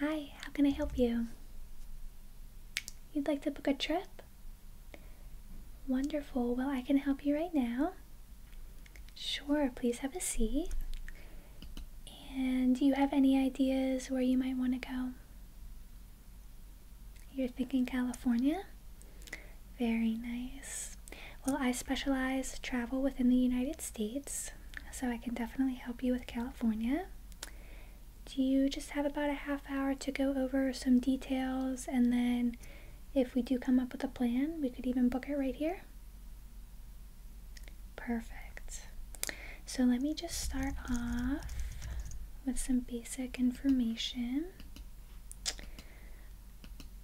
Hi, how can I help you? You'd like to book a trip? Wonderful. Well, I can help you right now. Sure, please have a seat. And do you have any ideas where you might want to go? You're thinking California? Very nice. Well, I specialize travel within the United States, so I can definitely help you with California. Do you just have about a half hour to go over some details and then if we do come up with a plan, we could even book it right here? Perfect. So let me just start off with some basic information.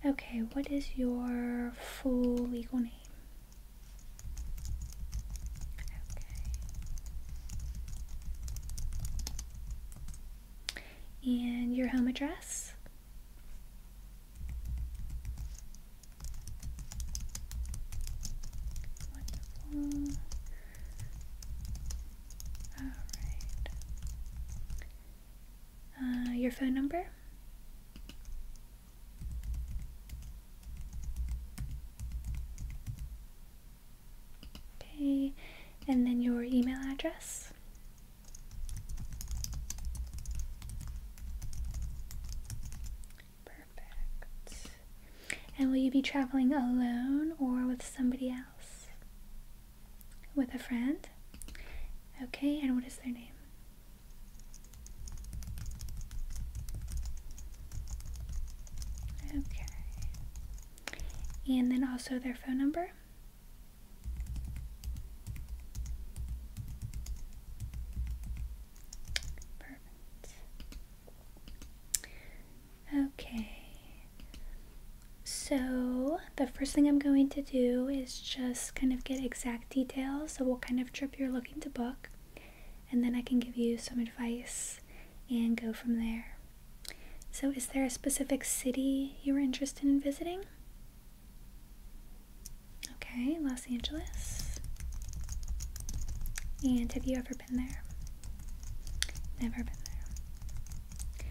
Okay, what is your full legal name? Okay. And your home address? Wonderful. All right. Uh, your phone number. Okay, and then your email address. Perfect. And will you be traveling alone or with somebody else? With a friend? Okay, and what is their name? Okay. And then also their phone number. Perfect. Okay. So the first thing I'm going to do is just kind of get exact details So, what kind of trip you're looking to book, and then I can give you some advice and go from there. So, is there a specific city you were interested in visiting? Okay, Los Angeles. And have you ever been there? Never been there.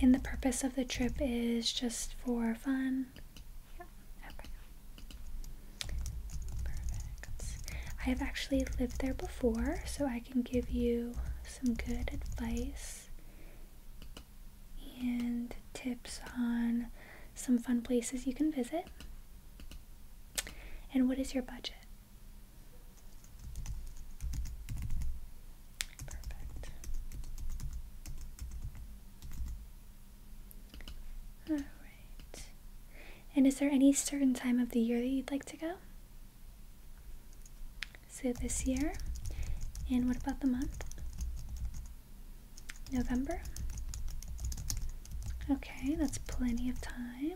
And the purpose of the trip is just for fun, yeah, Perfect. I have actually lived there before, so I can give you some good advice and tips on some fun places you can visit. And what is your budget? Perfect. All right. And is there any certain time of the year that you'd like to go? So this year. And what about the month? November. Okay, that's plenty of time.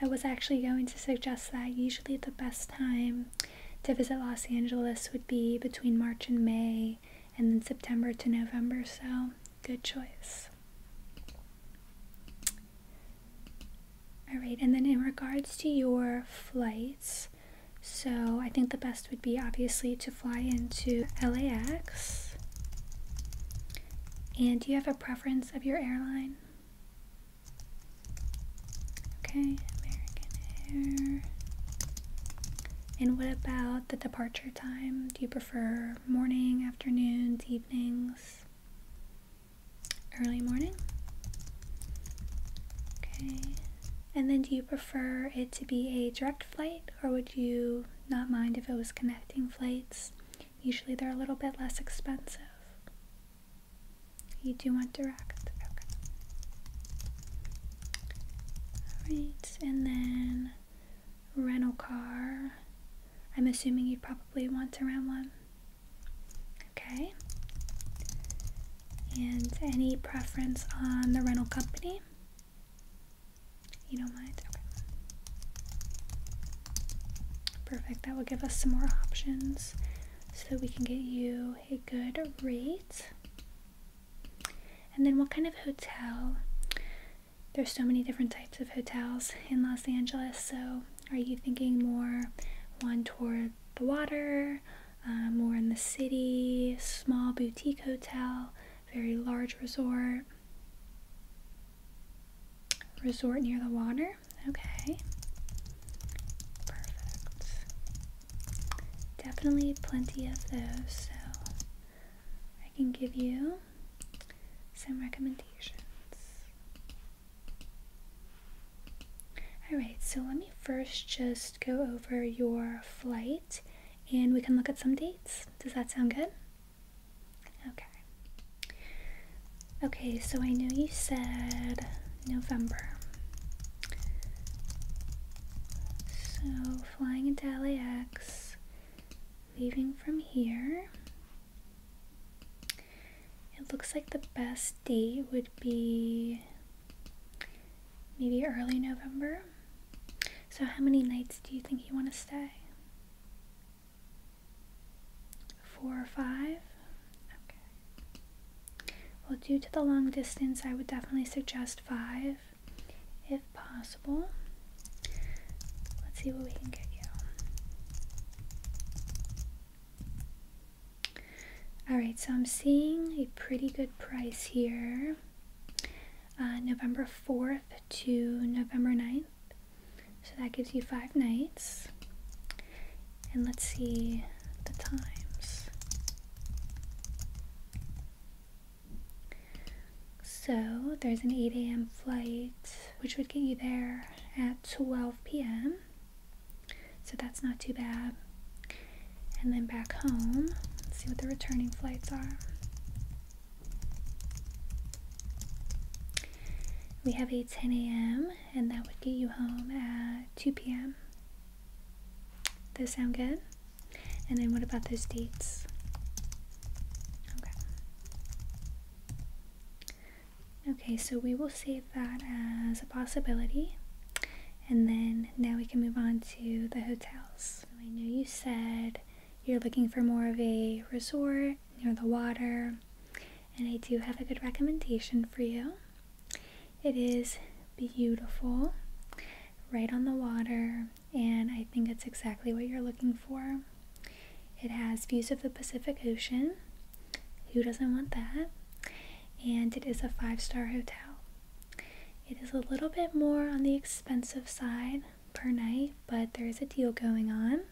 I was actually going to suggest that usually the best time to visit Los Angeles would be between March and May, and then September to November, so good choice. Alright, and then in regards to your flights, so I think the best would be obviously to fly into LAX. And do you have a preference of your airline? Okay, American Air. And what about the departure time? Do you prefer morning, afternoons, evenings? Early morning? Okay. And then do you prefer it to be a direct flight or would you not mind if it was connecting flights? Usually they're a little bit less expensive. You do want direct. Okay. Alright, and then rental car. I'm assuming you would probably want to rent one. Okay. And any preference on the rental company? You don't mind? Okay. Perfect. That will give us some more options so that we can get you a good rate. And then what kind of hotel? There's so many different types of hotels in Los Angeles. So, are you thinking more one toward the water, uh, more in the city, small boutique hotel, very large resort? Resort near the water? Okay. Perfect. Definitely plenty of those, so I can give you some recommendations. Alright, so let me first just go over your flight and we can look at some dates. Does that sound good? Okay. Okay, so I know you said November. So flying into LAX, leaving from here. It looks like the best date would be maybe early November. So, how many nights do you think you want to stay? Four or five? Well, due to the long distance, I would definitely suggest five if possible. Let's see what we can get you. Alright, so I'm seeing a pretty good price here. Uh, November 4th to November 9th. So that gives you five nights. And let's see the times. So there's an 8 a.m. flight, which would get you there at 12 p.m. So that's not too bad. And then back home, see what the returning flights are. We have a 10 a.m and that would get you home at 2 p.m. Does sound good? And then what about those dates? Okay. Okay, so we will save that as a possibility. And then now we can move on to the hotels. I know you said you're looking for more of a resort near the water and I do have a good recommendation for you. It is beautiful, right on the water, and I think it's exactly what you're looking for. It has views of the Pacific Ocean. Who doesn't want that? And it is a five star hotel. It is a little bit more on the expensive side per night, but there is a deal going on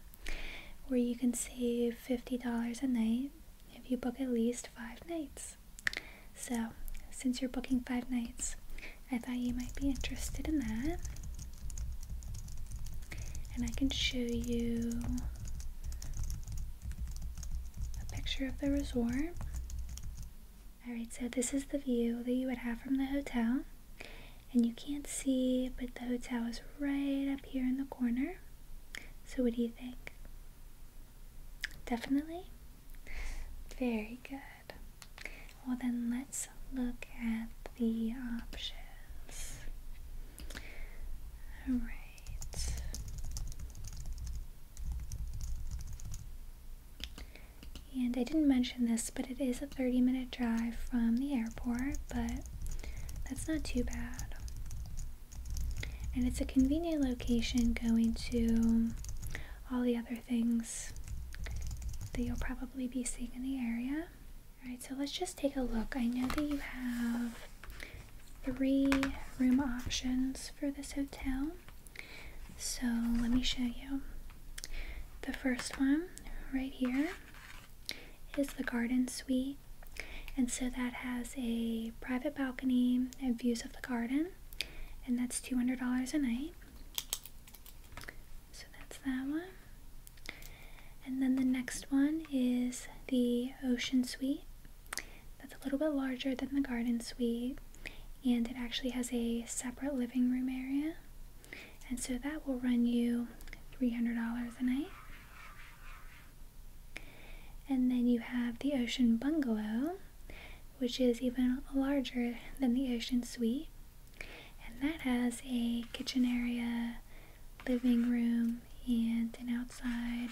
where you can save $50 a night if you book at least five nights. So, since you're booking five nights, I thought you might be interested in that. And I can show you a picture of the resort. Alright, so this is the view that you would have from the hotel. And you can't see, but the hotel is right up here in the corner. So, what do you think? Definitely? Very good. Well, then let's look at the options. Alright. And I didn't mention this, but it is a 30 minute drive from the airport, but that's not too bad. And it's a convenient location going to all the other things that you'll probably be seeing in the area. Alright, so let's just take a look. I know that you have three room options for this hotel. So let me show you. The first one right here is the garden suite. And so that has a private balcony and views of the garden. And that's $200 a night. So that's that one. And then the next one is the Ocean Suite. That's a little bit larger than the Garden Suite. And it actually has a separate living room area. And so that will run you $300 a night. And then you have the Ocean Bungalow, which is even larger than the Ocean Suite. And that has a kitchen area, living room, and an outside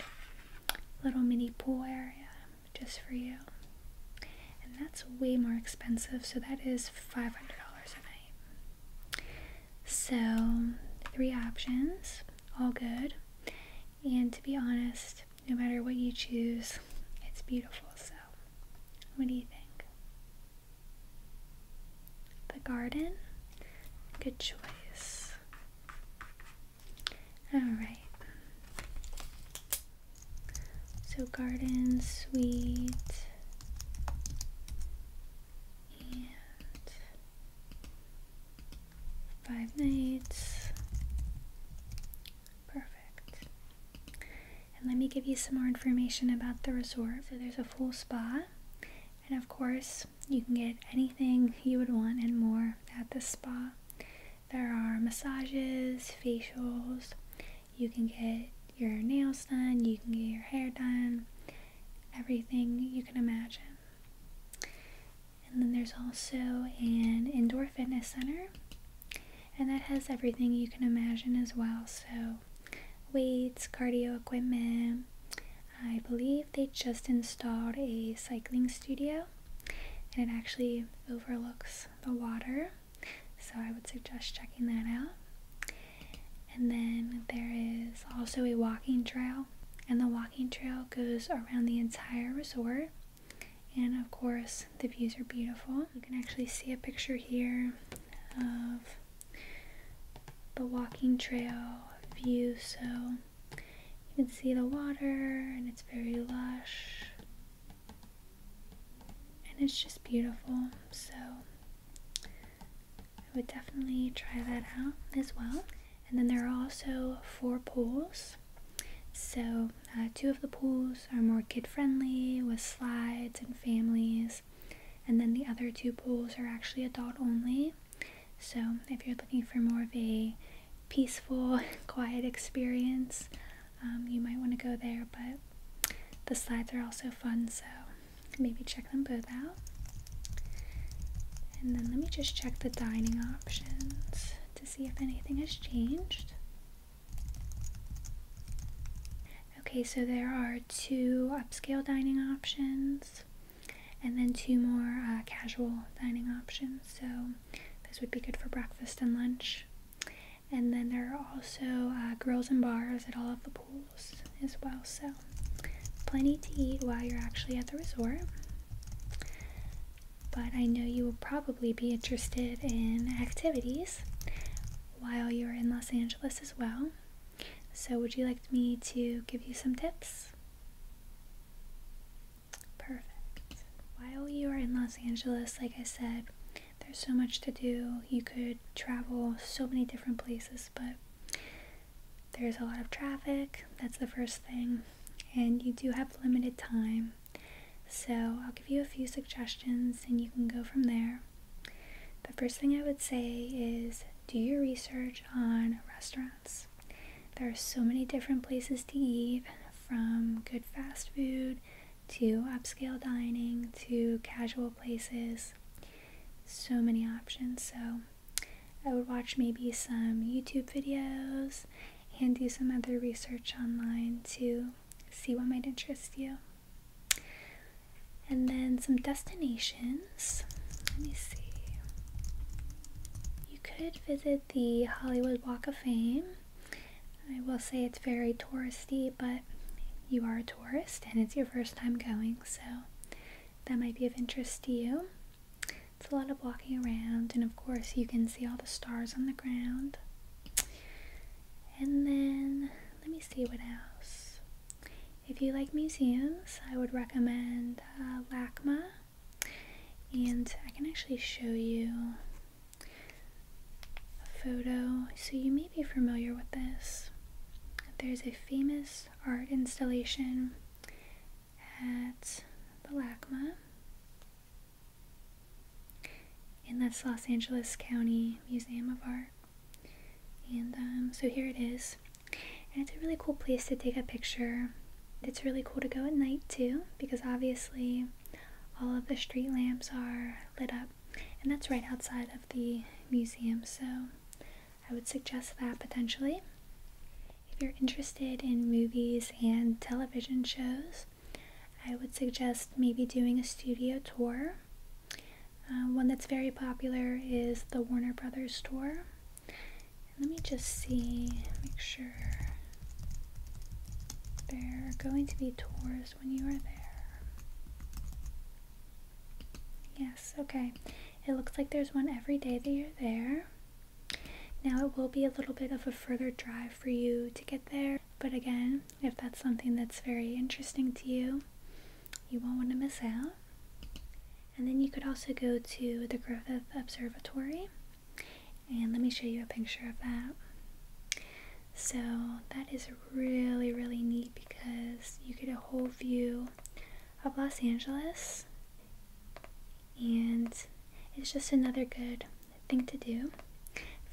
little mini pool area just for you. And that's way more expensive, so that is $500 a night. So, three options, all good. And to be honest, no matter what you choose, it's beautiful. So, what do you think? The garden? Good choice. Alright. So, garden, sweet, and five nights. Perfect. And let me give you some more information about the resort. So there's a full spa, and of course, you can get anything you would want and more at the spa. There are massages, facials, you can get your nails done, you can get your hair done, everything you can imagine. And then there's also an indoor fitness center, and that has everything you can imagine as well. So, weights, cardio equipment. I believe they just installed a cycling studio, and it actually overlooks the water. So, I would suggest checking that out. And then there is also a walking trail, and the walking trail goes around the entire resort. And of course, the views are beautiful. You can actually see a picture here of the walking trail view. So you can see the water, and it's very lush. And it's just beautiful. So would definitely try that out as well. And then there are also four pools. So, uh, two of the pools are more kid friendly with slides and families, and then the other two pools are actually adult only. So, if you're looking for more of a peaceful, quiet experience, um, you might want to go there. But the slides are also fun, so maybe check them both out. And then let me just check the dining options to see if anything has changed. Okay, so there are two upscale dining options and then two more uh, casual dining options. So this would be good for breakfast and lunch. And then there are also uh, grills and bars at all of the as well. So, plenty to eat while you're actually at the resort. But I know you will probably be interested in activities while you're in Los Angeles as well. So, would you like me to give you some tips? Perfect. While you are in Los Angeles, like I said, there's so much to do. You could travel so many different places but there's a lot of traffic. That's the first thing. And you do have limited time. So I'll give you a few suggestions and you can go from there. The first thing I would say is do your research on restaurants. There are so many different places to eat from good fast food to upscale dining to casual places so many options. So I would watch maybe some YouTube videos and do some other research online to see what might interest you. And then some destinations. Let me see. You could visit the Hollywood Walk of Fame. I will say it's very touristy, but you are tourist and it's your first time going, so that might be of interest to you. It's a lot of walking around, and of course, you can see all the stars on the ground. And then, let me see what else. If you like museums, I would recommend uh, LACMA. And I can actually show you a photo. So, you may be familiar with this. There's a famous art installation at the LACMA and that's Los Angeles County Museum of Art. And um, so here it is. And it's a really cool place to take a picture. It's really cool to go at night too because obviously all of the street lamps are lit up and that's right outside of the museum, so I would suggest that potentially. If you're interested in movies and television shows, I would suggest maybe doing a studio tour. Uh, one that's very popular is the Warner Brothers tour. let me just see, make sure. There are going to be tours when you were there. Yes, okay. It looks like there's one every day that you're there. Now, it will be a little bit of a further drive for you to get there, but again, if that's something that's very interesting to you, you won't want to miss out. And then you could also go to the Griffith Observatory, and let me show you a picture of that. So, that is really, really neat because you get a whole view of Los Angeles, and it's just another good thing to do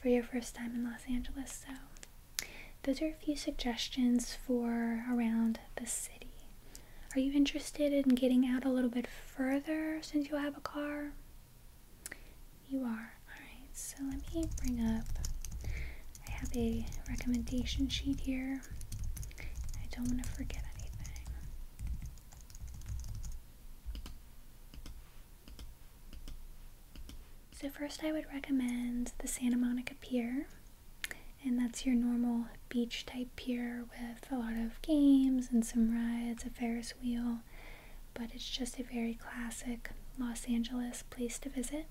for your first time in Los Angeles. So, those are a few suggestions for around the city. Are you interested in getting out a little bit further since you have a car? You are. Alright, so let me bring up. I have a recommendation sheet here. I don't want to forget anything. So, first, I would recommend the Santa Monica Pier, and that's your normal beach type pier with a lot of games and some rides, a Ferris wheel but it's just a very classic Los Angeles place to visit.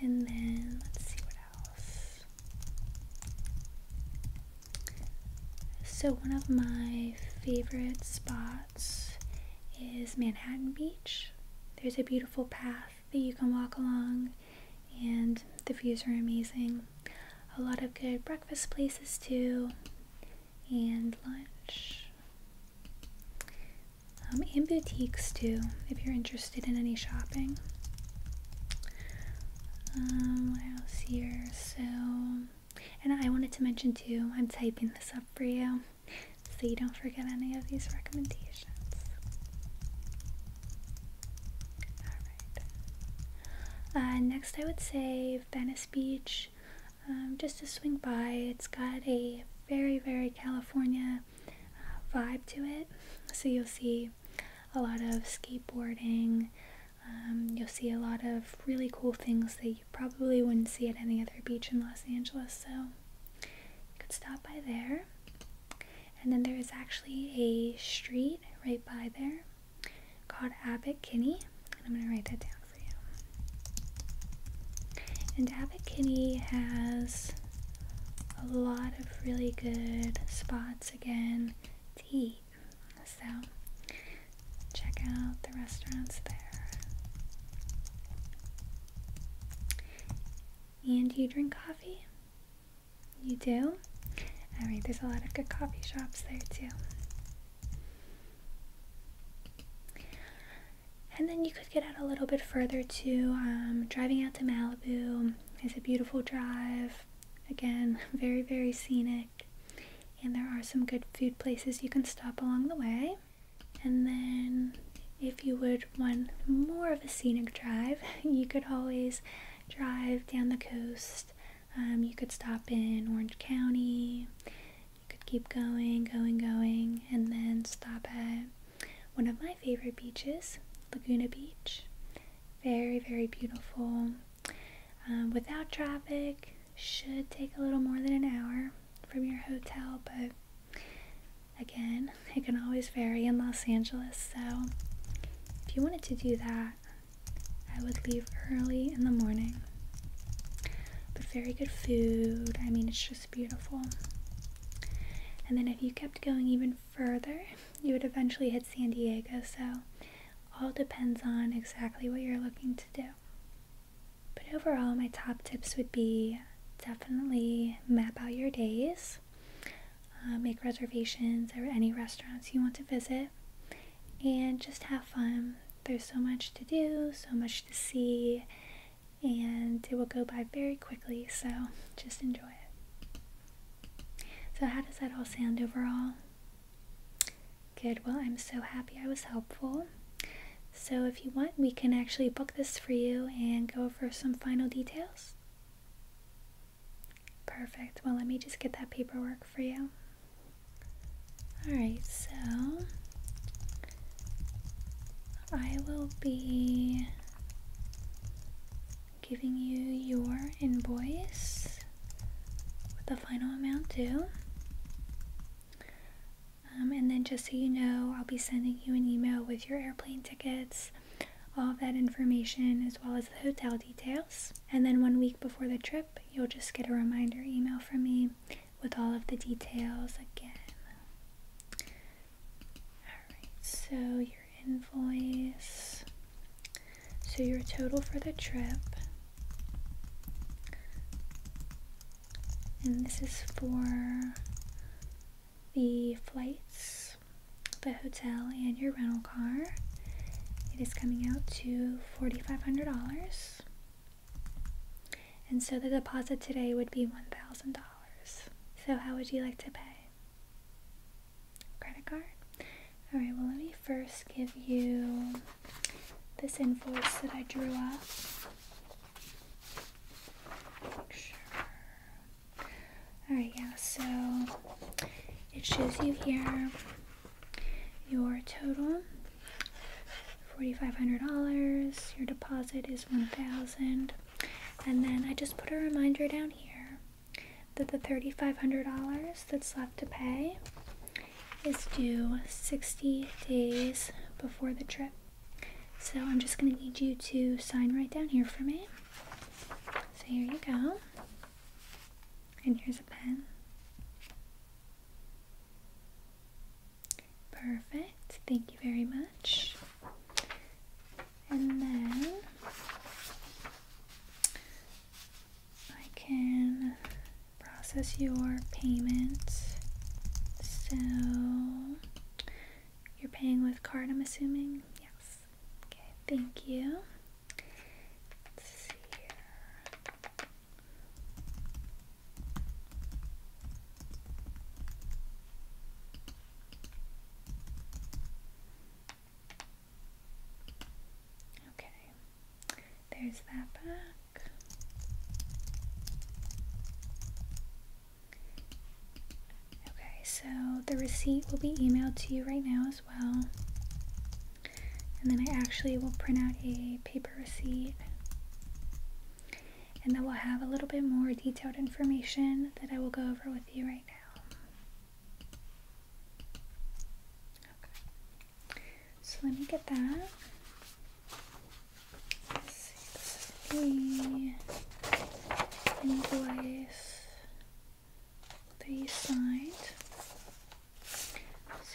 And then let's see what else. So, one of my favorite spots is Manhattan Beach. There's a beautiful path that you can walk along, and the views are amazing. A lot of good breakfast places, too, and lunch um, and boutiques too if you're interested in any shopping um, what else here so and I wanted to mention too I'm typing this up for you so you don't forget any of these recommendations all right uh, next I would say Venice Beach um, just to swing by. It's got a very, very California uh, vibe to it. So you'll see a lot of skateboarding. Um, you'll see a lot of really cool things that you probably wouldn't see at any other beach in Los Angeles. So you could stop by there. And then there is actually a street right by there called Abbot Kinney. And I'm going to write that down. And Abbot Kitty has a lot of really good spots again to So check out the restaurants there. And you drink coffee? You do? Alright, there's a lot of good coffee shops there too. And then you could get out a little bit further to um, driving out to Malibu. It's a beautiful drive. Again, very, very scenic. And there are some good food places you can stop along the way. And then, if you would want more of a scenic drive, you could always drive down the coast. Um, you could stop in Orange County. You could keep going, going, going, and then stop at one of my favorite beaches, Laguna Beach. Very, very beautiful. Um, without traffic, should take a little more than an hour from your hotel, but again, it can always vary in Los Angeles. So if you wanted to do that, I would leave early in the morning. But very good food. I mean, it's just beautiful. And then if you kept going even further, you would eventually hit San Diego. So, all depends on exactly what you're looking to do. But overall, my top tips would be definitely map out your days, uh, make reservations at any restaurants you want to visit, and just have fun. There's so much to do, so much to see, and it will go by very quickly, so just enjoy it. So, how does that all sound overall? Good, well, I'm so happy I was helpful. So, if you want, we can actually book this for you and go over some final details. Perfect. Well, let me just get that paperwork for you. Alright, so I will be giving you your invoice with the final amount due. Um, and then, just so you know, I'll be sending you an email with your airplane tickets, all that information, as well as the hotel details. And then one week before the trip, you'll just get a reminder email from me with all of the details again. Alright, so your invoice. So your total for the trip. And this is for the flights, the hotel, and your rental car. It is coming out to $4,500. And so the deposit today would be $1,000. So how would you like to pay? Credit card? All right, well, let me first give you this invoice that I drew up. Sure. All right, yeah, so it shows you here your total $4,500. Your deposit is 1000 And then I just put a reminder down here that the $3,500 that's left to pay is due 60 days before the trip. So I'm just going to need you to sign right down here for me. So here you go. And here's a pen. Perfect. Thank you very much. And then I can process your payment. So you're paying with card, I'm assuming? Yes. Okay, thank you. Okay, there's that back. Okay, so the receipt will be emailed to you right now as well. And then I actually will print out a paper receipt. And then we will have a little bit more detailed information that I will go over with you right now. So let me get that. see. This is the invoice that signed.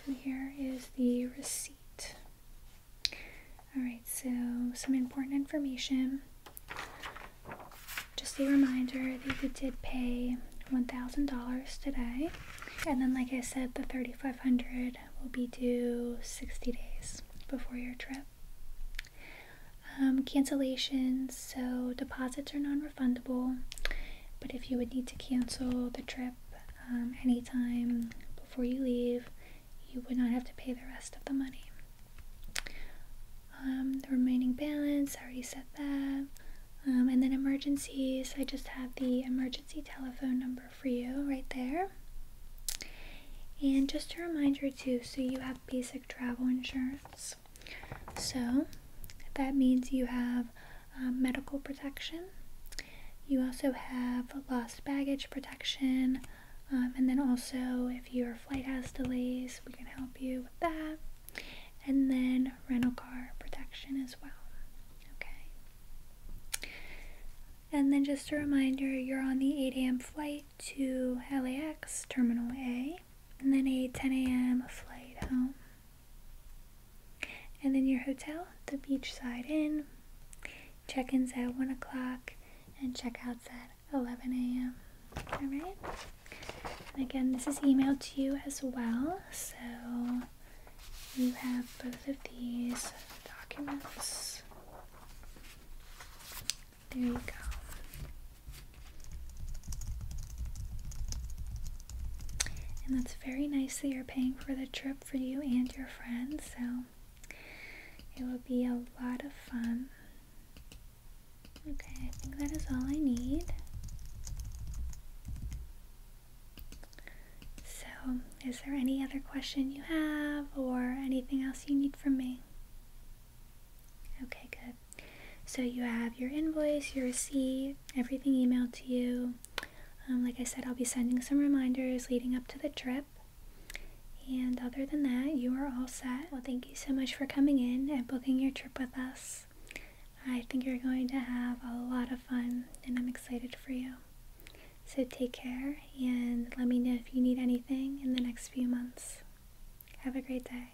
So here is the receipt. Alright, so some important information. Just a reminder that you did pay $1,000 today. And then, like I said, the 3500 will be due 60 days before your trip. Um, cancellations, so deposits are non refundable Fundable, but if you would need to cancel the trip um, anytime before you leave, you would not have to pay the rest of the money. Um, the remaining balance, I already said that. Um, and then emergencies, I just have the emergency telephone number for you right there. And just a reminder too, so you have basic travel insurance. So that means you have um, medical protection. You also have lost baggage protection. Um, and then also, if your flight has delays, we can help you with that. And then rental car protection as well. Okay. And then just a reminder you're on the 8 a.m. flight to LAX, Terminal A, and then a 10 a.m. flight home. And then your hotel, the Beachside Inn. Check in's at 1 o'clock and checkouts at 11 a.m. Alright? And again, this is emailed to you as well, so you have both of these documents. There you go. And that's very nice that you're paying for the trip for you and your friends, so it will be a lot of fun. Okay, I think that is all I need. So, is there any other question you have or anything else you need from me? Okay, good. So you have your invoice, your receipt, everything emailed to you. Um, like I said, I'll be sending some reminders leading up to the trip. And other than that, you are all set. Well, thank you so much for coming in and booking your trip with us. I think you're going to have a lot of fun, and I'm excited for you. So take care, and let me know if you need anything in the next few months. Have a great day.